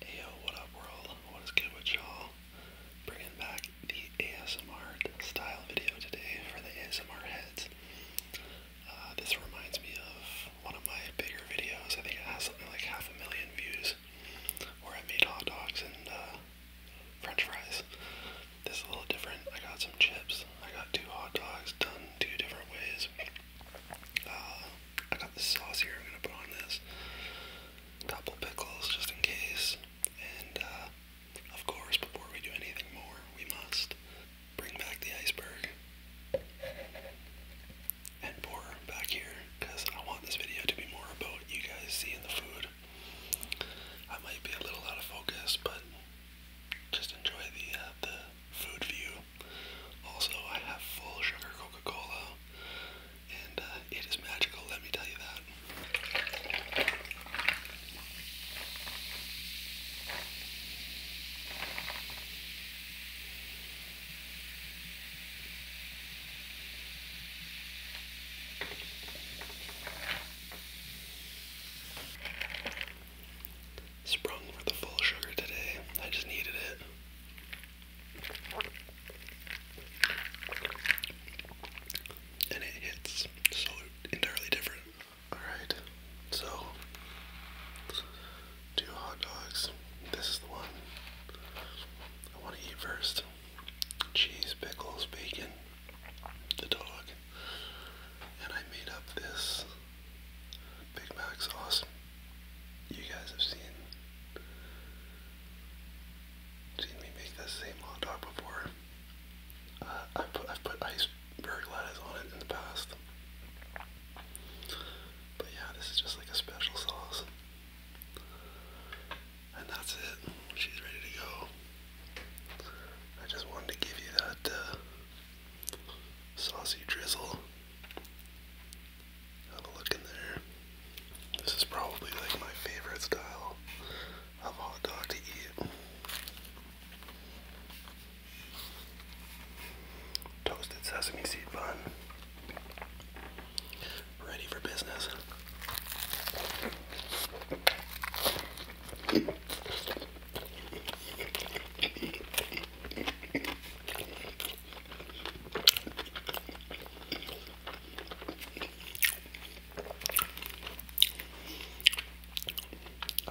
Hey what up world? What is good with y'all? Bringing back the ASMR style video today for the ASMR heads. Uh, this reminds me of one of my bigger videos. I think it has something like half a million views where I made hot dogs and uh, french fries. This is a little different. I got some chips. I got two hot dogs done two different ways. Uh, I got the sauce here. I'm gonna put on this. Couple pickles just in case. And uh, of course, before we do anything more, we must bring back the iceberg and pour back here because I want this video to be more about you guys seeing the food. I might be a little out of focus, but just enjoy the uh, the food view. Also, I have full sugar Coca-Cola, and uh, it is magical, let me tell you that. Sprung for the full sugar today. I just needed it. And it hits so entirely different. Alright, so two hot dogs. This is the one I want to eat first. Cheese, pickles, bacon, the dog. And I made up this Big Mac's awesome. You guys have seen seen me make that same hot dog before. Uh, I put, I've put iceberg lettuce on it in the past. But yeah, this is just like a special sauce. And that's it. She's ready to go. I just wanted to give you that uh, saucy drizzle. Have a look in there. This is probably like my favorite style of hot dog to eat. Toasted sesame seed bun. Ready for business.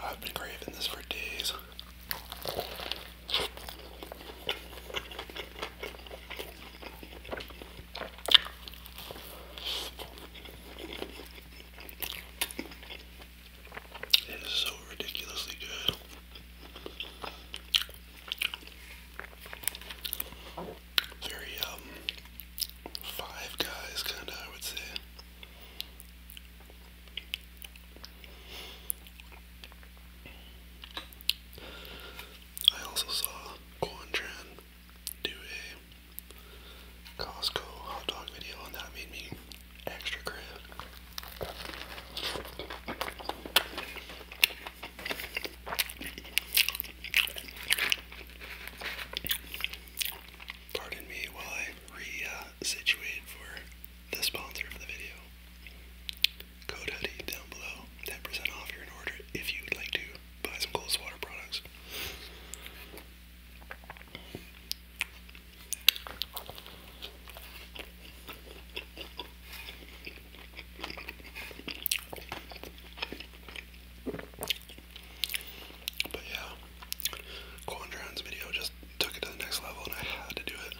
I've been craving this for days. It is so ridiculously good. Very, um, Five Guys kinda, I would say. I also saw Quantran do a Costco hot dog video, and that made me extra crisp. Pardon me while I re-situate for the sponsor of the video. Code hoodie down below, 10% off your order if you'd like to buy some Coldwater products. But yeah, Quan video just took it to the next level and I had to do it.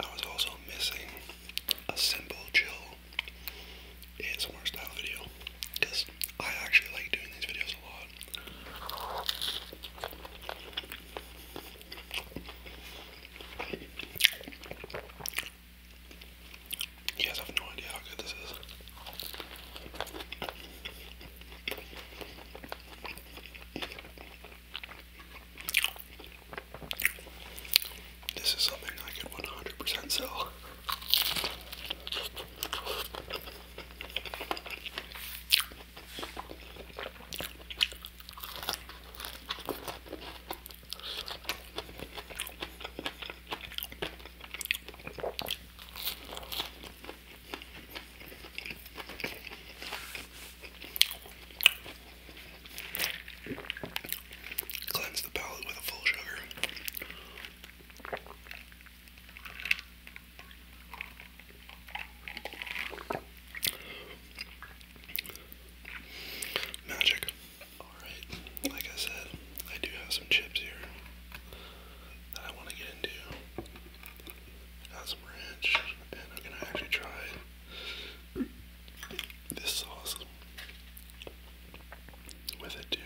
I was also missing a simple chill ASMR style video because I actually like doing these videos a lot. You guys have no idea how good this is. This is something I could 100% sell. Cleanse the palate with a full sugar. Magic. Alright, like I said, I do have some chips here that I want to get into. Got some ranch, and I'm gonna actually try this sauce with it too.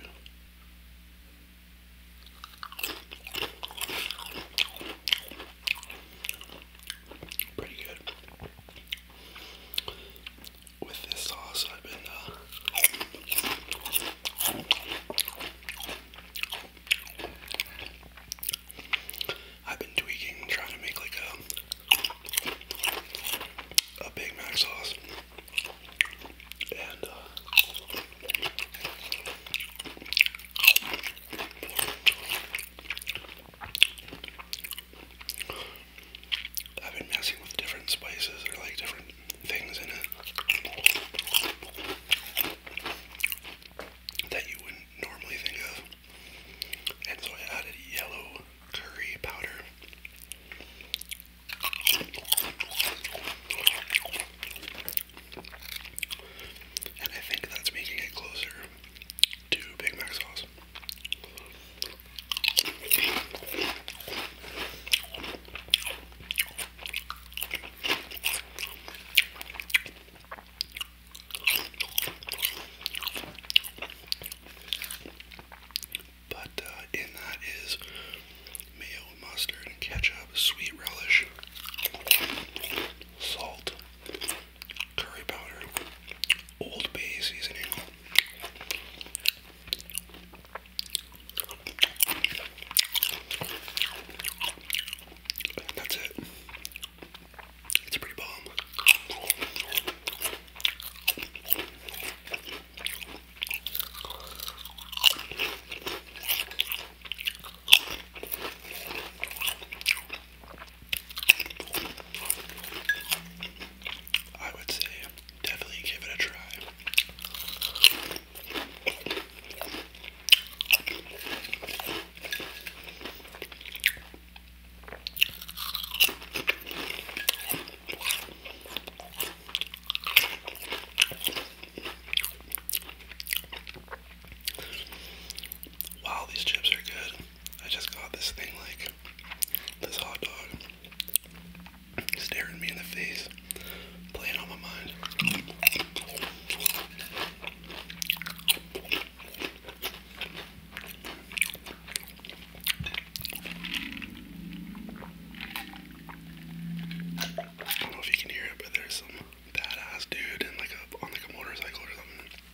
Pretty good with this sauce I've been uh, I've been tweaking, trying to make like a a Big Mac sauce, and uh, I've been messing with different spices or like different things in it that you wouldn't normally think of. And so I added yellow curry powder. And I think that's making it closer to Big Mac sauce. But uh, in that is mayo, mustard, ketchup, sweet relish, salt curry powder, Old Bay seasoning, and that's it. It's pretty bomb. I would say definitely give it a try. Wow, these chips are good. I just got this thing like this hot dog staring me in the face, playing on my mind. I don't know if you can hear it, but there's some badass dude in like a on like a motorcycle or something.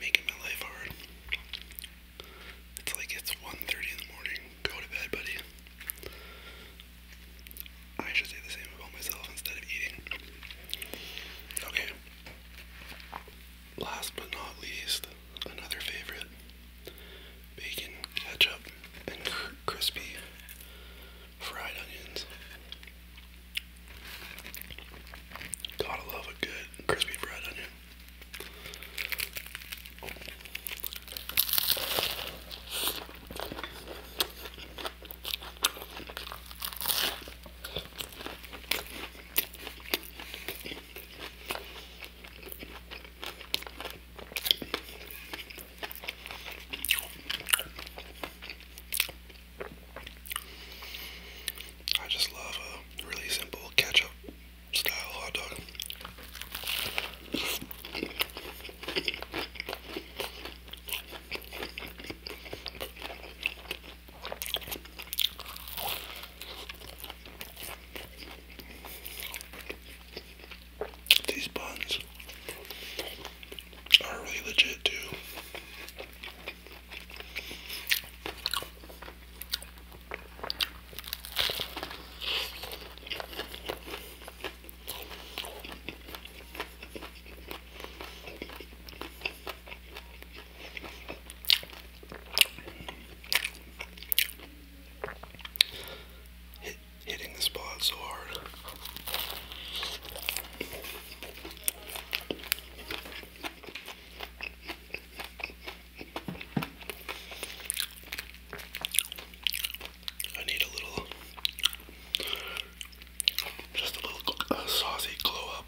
Making my life hard. It's like it's 1.30 in the morning. Go to bed, buddy. I should say the same about myself instead of eating. Okay. Last but not least, another favorite. Bacon, ketchup, and crispy fried onions. Gotta love a good crispy fried onion. I just love a really simple ketchup style hot dog. These buns are really legit too hitting the spot so hard. I need a little, just a little uh, saucy glow up.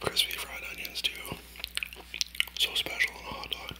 Crispy fried onions, too. So special on a hot dog.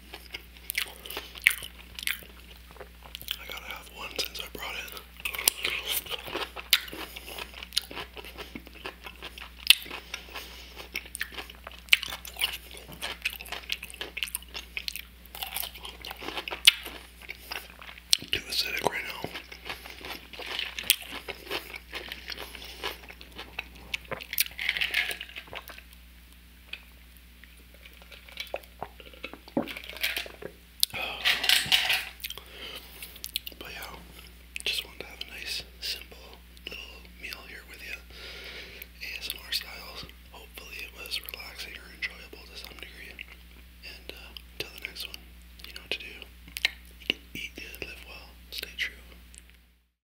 I gotta have one since I brought it. too acidic right now. But yeah, just wanted to have a nice, simple little meal here with you, ASMR styles. Hopefully, it was relaxing or enjoyable to some degree. And uh, the next one, you know what to do. Eat good, live well, stay true.